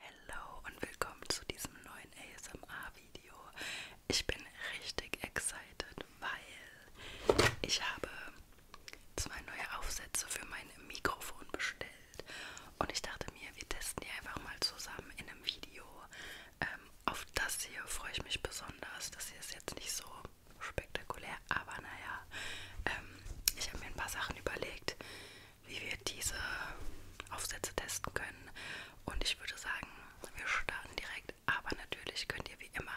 Hallo und willkommen zu diesem neuen ASMR-Video. Ich bin richtig excited, weil ich habe zwei neue Aufsätze für mein Mikrofon bestellt und ich dachte mir, wir testen die einfach mal zusammen in einem Video. Ähm, auf das hier freue ich mich besonders. Das hier ist jetzt nicht so spektakulär, aber naja, ähm, ich habe mir ein paar Sachen überlegt, wie wir diese Aufsätze testen können. Und ich würde sagen, wir starten direkt. Aber natürlich könnt ihr wie immer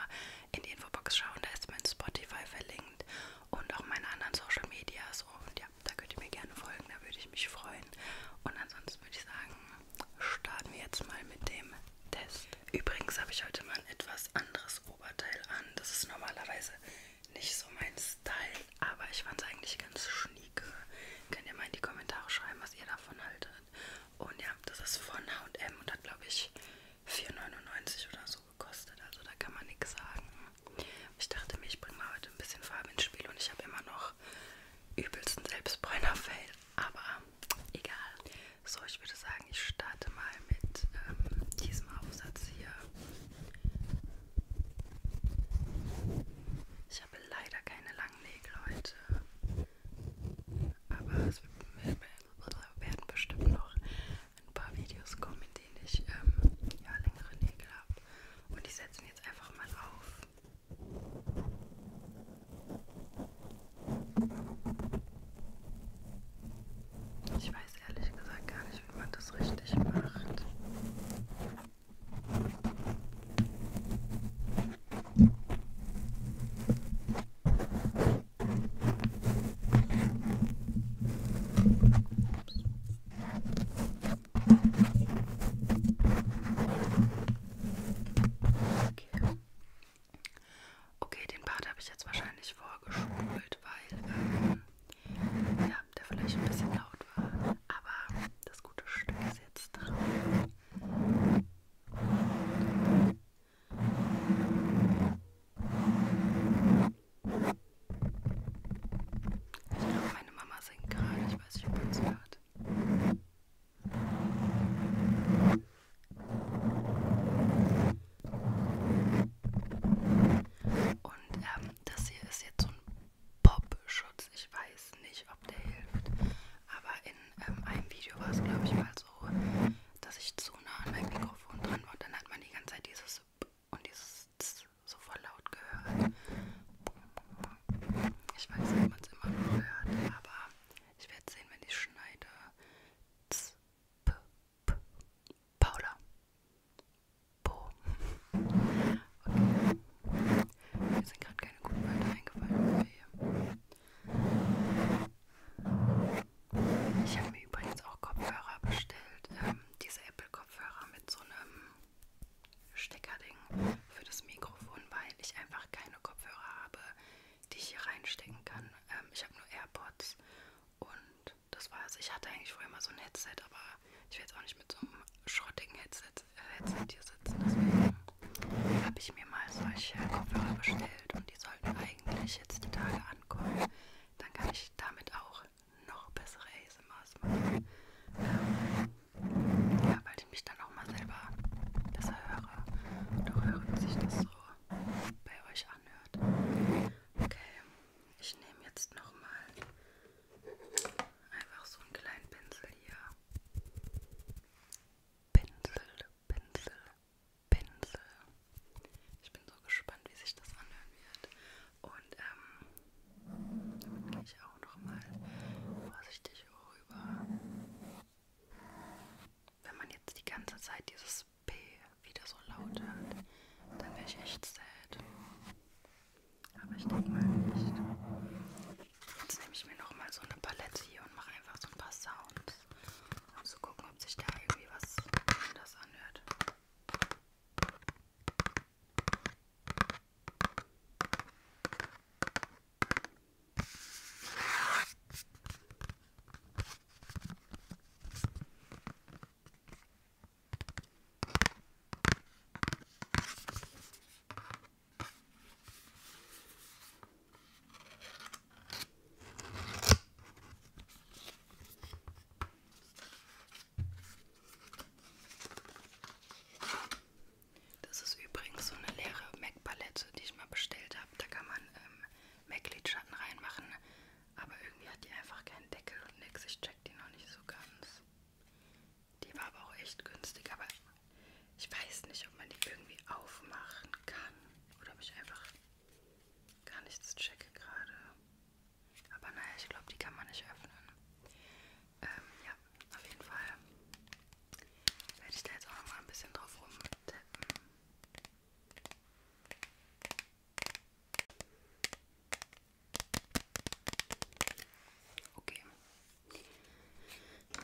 in die Infobox schauen. Da ist mein Spotify verlinkt und auch meine anderen Social Medias. Und ja, da könnt ihr mir gerne folgen. Da würde ich mich freuen. Und ansonsten würde ich sagen, starten wir jetzt mal mit dem Test. Übrigens habe ich heute mal ein etwas anderes Oberteil an. Das ist normalerweise nicht so mein Style, aber ich fand es eigentlich ganz schnieke. Könnt ihr mal in die Kommentare schreiben, was ihr davon haltet. Und ja, das ist von H&M und hat glaube ich 4,99 oder so gekostet, also da kann man nichts sagen. Ich dachte mir, ich bringe mal heute ein bisschen Farbe ins Spiel und ich habe immer noch übelsten Selbstbräuner-Fail, aber egal. So, ich würde sagen, ich starte mal mit ähm, diesem Aufsatz hier. Ich habe leider keine langen Nägel heute. Aber es werden bestimmt noch ein paar Videos kommen, in denen ich ähm, ja, längere Nägel habe. Und die setzen jetzt einfach mal auf. Ich weiß ehrlich gesagt gar nicht, wie man das richtig macht. Okay. okay, den Part habe ich jetzt wahrscheinlich vorgespult, weil ähm, ja, der vielleicht ein bisschen laut war, aber das gute Stück ist jetzt drauf. Ich glaube, meine Mama singt gerade, ich weiß nicht, ob man es hört. Und ähm, das hier ist jetzt so ein Popschutz. Ich weiß nicht, ob der hilft. Aber in ähm, einem Video war es, glaube ich, mal so, dass ich zu nah an meinem Mikrofon dran war. Und dann hat man die ganze Zeit dieses und dieses so voll laut gehört. Ich weiß nicht, ob man es immer noch hört, aber ich werde sehen, wenn ich schneide. P. Paula. Po. Okay. Mir sind gerade keine guten Wörter eingefallen. Hier. Ich habe mir übrigens auch Kopfhörer bestellt. Ähm, diese Apple-Kopfhörer mit so einem Steckerding für das Mikrofon, weil ich einfach keine Kopfhörer habe, die ich hier reinstecken kann. Ähm, ich habe nur AirPods und und das war's. Ich hatte eigentlich vorher mal so ein Headset, aber ich will jetzt auch nicht mit so einem schrottigen Headset, äh, Headset hier sitzen. Deswegen habe ich mir mal solche Kopfhörer bestellt und die sollten eigentlich jetzt die Tage ankommen. Dann kann ich damit auch noch bessere ASMRs machen. Ähm, ja, weil ich mich dann auch mal selber besser höre und auch höre, wie sich das so bei euch anhört. Okay, ich nehme jetzt nochmal einfach so einen kleinen Pinsel hier. Pinsel, Pinsel, Pinsel. Ich bin so gespannt, wie sich das anhören wird. Und ähm, damit gehe ich auch nochmal vorsichtig rüber wenn man jetzt die ganze Zeit dieses P wieder so laut hört, dann wäre ich echt sad. Aber ich denke mal nicht. Jetzt nehme ich mir nochmal so eine Palette hier und mache einfach so ein paar Sounds, um zu gucken, ob sich da irgendwie was anders anhört. Das ist übrigens so eine leere MAC-Palette, die ich mal bestellt habe. Da kann man ähm, Mac Lidschatten reinmachen, aber irgendwie hat die einfach keinen Deckel und nix. Ich check die noch nicht so ganz. Die war aber auch echt günstig, aber ich weiß nicht, ob man die irgendwie aufmachen kann oder ob ich einfach gar nichts checke gerade. Aber naja, ich glaube, die kann man nicht öffnen. Ähm, ja, auf jeden Fall werde ich da jetzt auch noch mal ein bisschen drauf rumtippen. Okay.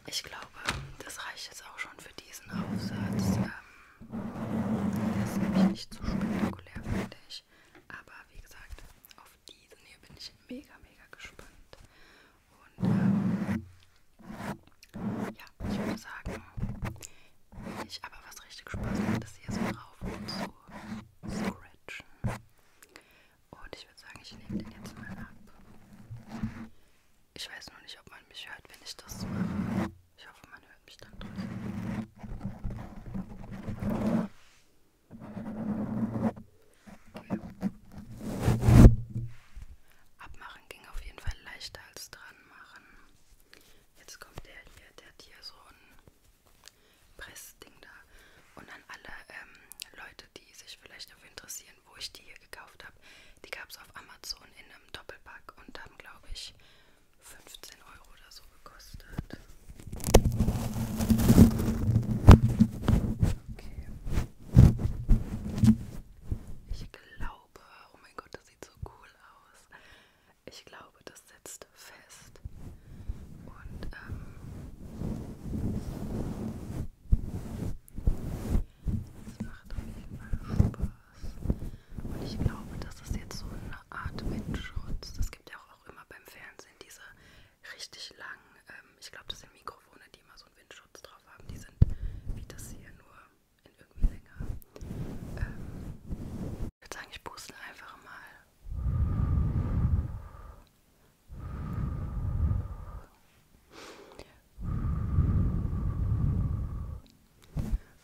Ich glaube, das reicht jetzt auch schon für diesen Aufsatz. Ähm, der ist nämlich nicht so spektakulär, finde ich. Aber wie gesagt, auf diesen hier bin ich mega, mega gespannt. Und ähm, ja, ich würde sagen, wenn ich aber was richtig Spaß macht, ist hier so drauf und so scratchen. Und ich würde sagen, ich nehme den jetzt mal ab. Ich weiß nur nicht, ob man mich hört, wenn ich das mache. Ich hoffe, man hört mich dann trotzdem. Okay. Abmachen ging auf jeden Fall leichter als dran anmachen. Jetzt kommt der hier, der hat hier so ein Pressding da. Und an alle ähm, Leute, die sich vielleicht dafür interessieren, wo ich die hier gekauft habe, die gab es auf Amazon in einem Doppelpack und haben, glaube ich, 15 Euro oder so gekostet. Okay. Ich glaube, Taube. Oh mein Gott, das sieht so cool aus. Ich glaube, das sitzt fest. Und ähm, das macht auf jeden Fall Spaß. Und ich glaube, das ist jetzt so eine Art Windschutz. Es gibt ja auch, auch immer beim Fernsehen diese richtig langen, ähm, ich glaube, das sind Mikrofone, die immer so einen Windschutz drauf haben. Die sind wie das hier nur in irgendeinem Sänger. Ähm, ich würde sagen, ich puste einfach mal.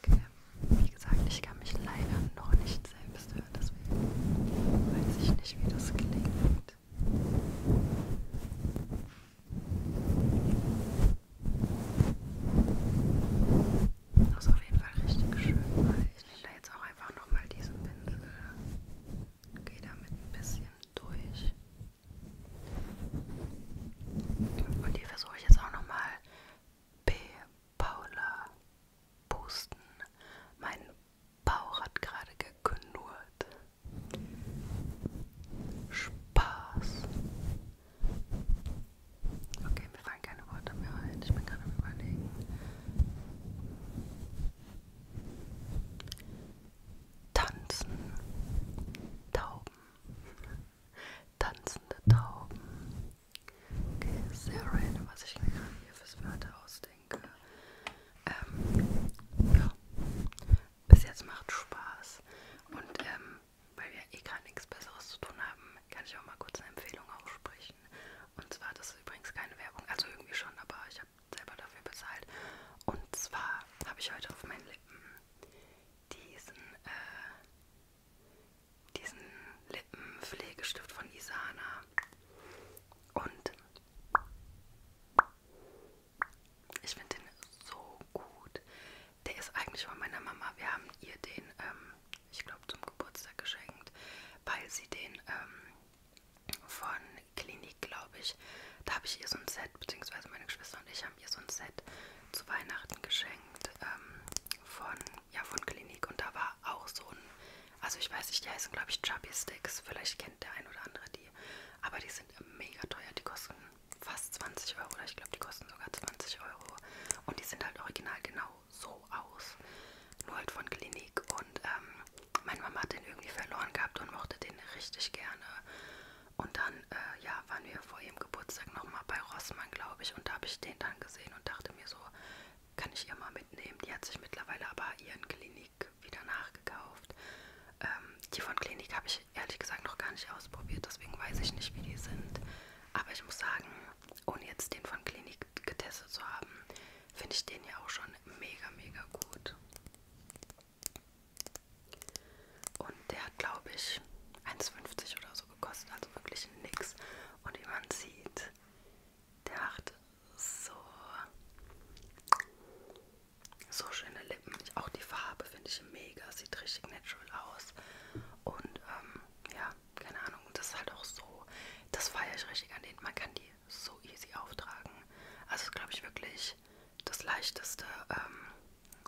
Okay, wie gesagt, ich kann mich leider noch nicht selbst hören, deswegen weiß ich nicht, wie das klingt. Das ist auf jeden Fall richtig schön, weil ich nehme da jetzt auch einfach nochmal diesen Pinsel. Gehe damit ein bisschen durch. Und hier versuche ich jetzt auch nochmal P. Paula Pusten. Mein Bauch hat gerade geknurrt. Spaß. Okay, mir fallen keine Worte mehr ein. Ich bin gerade am Überlegen. Tanzen. Tauben. Tanzende Tauben. Okay, sehr random, was ich mir gerade hier fürs Wörter ausdenke. Ähm, ja bis jetzt macht Spaß. Und ähm, weil wir eh gar nichts Besseres zu tun haben, kann ich auch mal kurz eine Empfehlung aussprechen. Und zwar, das ist übrigens keine Werbung, also irgendwie schon, aber ich habe selber dafür bezahlt. Und zwar habe ich heute auf meinen Lippen diesen, äh, diesen Lippenpflegestift von Isana. Und ich finde den so gut. Der ist eigentlich von meiner Mama. Wir haben ihr den, ähm, ich glaube, zum Geburtstag geschenkt, weil sie den ähm, von Klinik, glaube ich, da habe ich ihr so ein Set, beziehungsweise meine Geschwister und ich haben ihr so ein Set zu Weihnachten geschenkt ähm, von, ja, von Klinik. Und da war auch so ein, also ich weiß nicht, die heißen, glaube ich, Chubby Sticks. Vielleicht kennt kennt der ein oder andere die. Aber die sind mega teuer. Die kosten fast 20 Euro. Oder ich glaube, die kosten sogar 20 Euro. Und die sind halt original genau so aus. Nur halt von Klinik. Und ähm, meine Mama hat den irgendwie verloren gehabt und mochte den richtig gerne. Und dann, äh, ja, waren wir vor ihrem Geburtstag nochmal bei Rossmann, glaube ich. Und da habe ich den dann gesehen und dachte mir so, kann ich ihr mal mitnehmen. Die hat sich mittlerweile aber ihren Klinik wieder nachgekauft. Ähm, die von Klinik habe ich ehrlich gesagt noch gar nicht ausprobiert, deswegen weiß ich nicht, wie die sind. Aber ich muss sagen, ohne jetzt den von Klinik getestet zu haben, finde ich den ja auch schon mega, mega gut. Und der hat, glaube ich, 1,50 oder so gekostet, also wirklich nix. Und wie man sieht, der hat so so schöne Lippen. Auch die Farbe finde ich mega. Sieht richtig natural aus. Und ähm, ja, keine Ahnung. Das ist halt auch so. Das feiere ich richtig an denen. Man kann die so easy auftragen. Also glaube ich wirklich das leichteste ähm,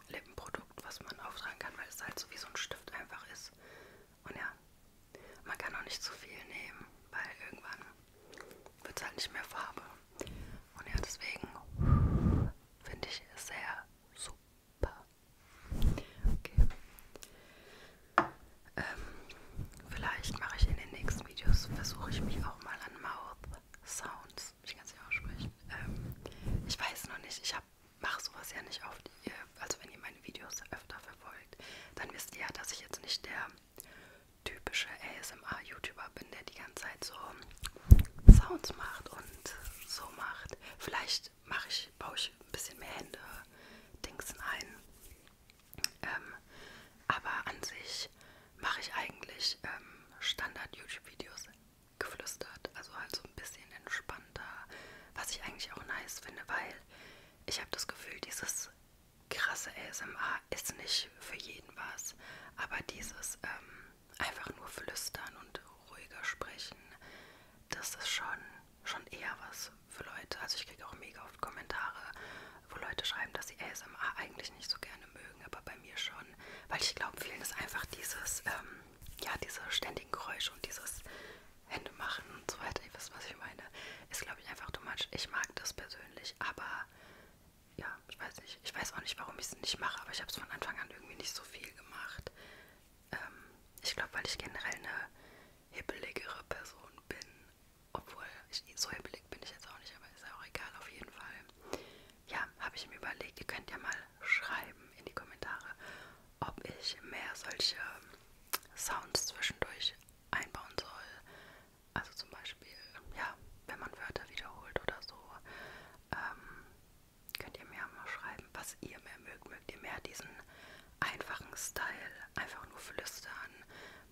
Lippenprodukt, was man auftragen kann, weil es halt so wie so ein Stift einfach ist. Und ja, man kann auch nicht zu viel nehmen, weil irgendwann wird es halt nicht mehr Farbe. Und ja, deswegen finde ich es sehr super. Okay. Ähm, vielleicht mache ich in den nächsten Videos, versuche ich mich auch mal an Mouth Sounds. Ich kann es nicht aussprechen. Ähm, ich weiß noch nicht, ich mache sowas ja nicht oft. Also wenn ihr meine Videos öfter verfolgt, dann wisst ihr ja, dass ich jetzt nicht der typische ASMR-YouTuber bin, der die ganze Zeit so Sounds macht und so macht. Vielleicht mache ich, baue ich ein bisschen mehr Hände Dings ein. Ähm, aber an sich mache ich eigentlich ähm, Standard-YouTube-Videos geflüstert. Also halt so ein bisschen entspannter. Was ich eigentlich auch nice finde, weil ich habe das Gefühl, dieses krasse ASMR ist nicht für jeden was, aber dieses ähm, einfach nur flüstern und ruhiger sprechen, das ist schon, schon eher was für Leute. Also ich kriege auch mega oft Kommentare, wo Leute schreiben, dass sie ASMR eigentlich nicht so gerne mögen, aber bei mir schon, weil ich glaube, vielen ist einfach dieses, ähm, ja, diese ständigen Geräusche und dieses Hände machen und so weiter. Ihr wisst, was ich meine. Ist, glaube ich, einfach too much. Ich mag das persönlich, aber ja, ich weiß nicht. Ich weiß auch nicht, warum ich es nicht mache, aber ich habe es von Anfang an irgendwie nicht so viel gemacht. Ähm, ich glaube, weil ich generell eine hibbeligere Person bin. Obwohl, ich, so hibbelig bin ich jetzt auch nicht, aber ist ja auch egal, auf jeden Fall. Ja, habe ich mir überlegt, ihr könnt ja mal schreiben in die Kommentare, ob ich mehr solche Sounds zwischendurch einbauen soll. Also zum Beispiel, ja, wenn man Wörter wiederholt oder so, ähm, könnt ihr mir mal schreiben, was ihr mehr mögt. Mögt ihr mehr diesen einfachen Style, einfach nur flüstern,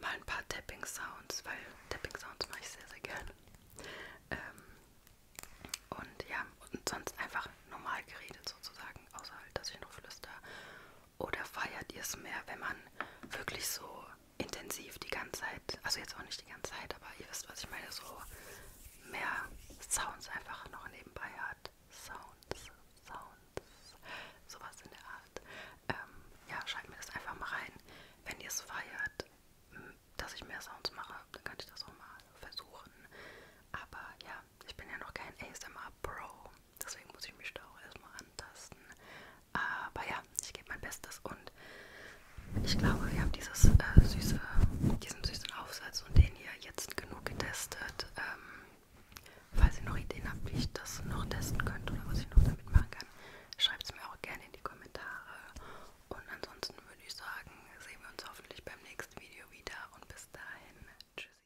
mal ein paar Tapping-Sounds, weil Tapping-Sounds mache ich sehr, sehr gerne. Ähm, und ja, und sonst einfach normal geredet sozusagen, außer halt, dass ich noch flüster oder feiert ihr es mehr, wenn man wirklich so intensiv die ganze Zeit, also jetzt auch nicht die ganze Zeit, aber ihr wisst, was ich meine, so mehr Sounds einfach noch nebenbei hat. Sounds, Sounds, sowas in der Art. Ähm, ja, schreibt mir das einfach mal rein. Wenn ihr es feiert, dass ich mehr Sounds mache, dann kann ich das auch mal versuchen. Aber ja, ich bin ja noch kein ASMR Pro. Deswegen muss ich mich da auch erstmal antasten. Aber ja, ich gebe mein Bestes und ich glaube, wir haben dieses, äh, süße, diesen süßen Aufsatz und den hier jetzt genug getestet. Ähm, falls ihr noch Ideen habt, wie ich das noch testen könnte oder was ich noch damit machen kann, schreibt es mir auch gerne in die Kommentare. Und ansonsten würde ich sagen, sehen wir uns hoffentlich beim nächsten Video wieder und bis dahin. Tschüssi.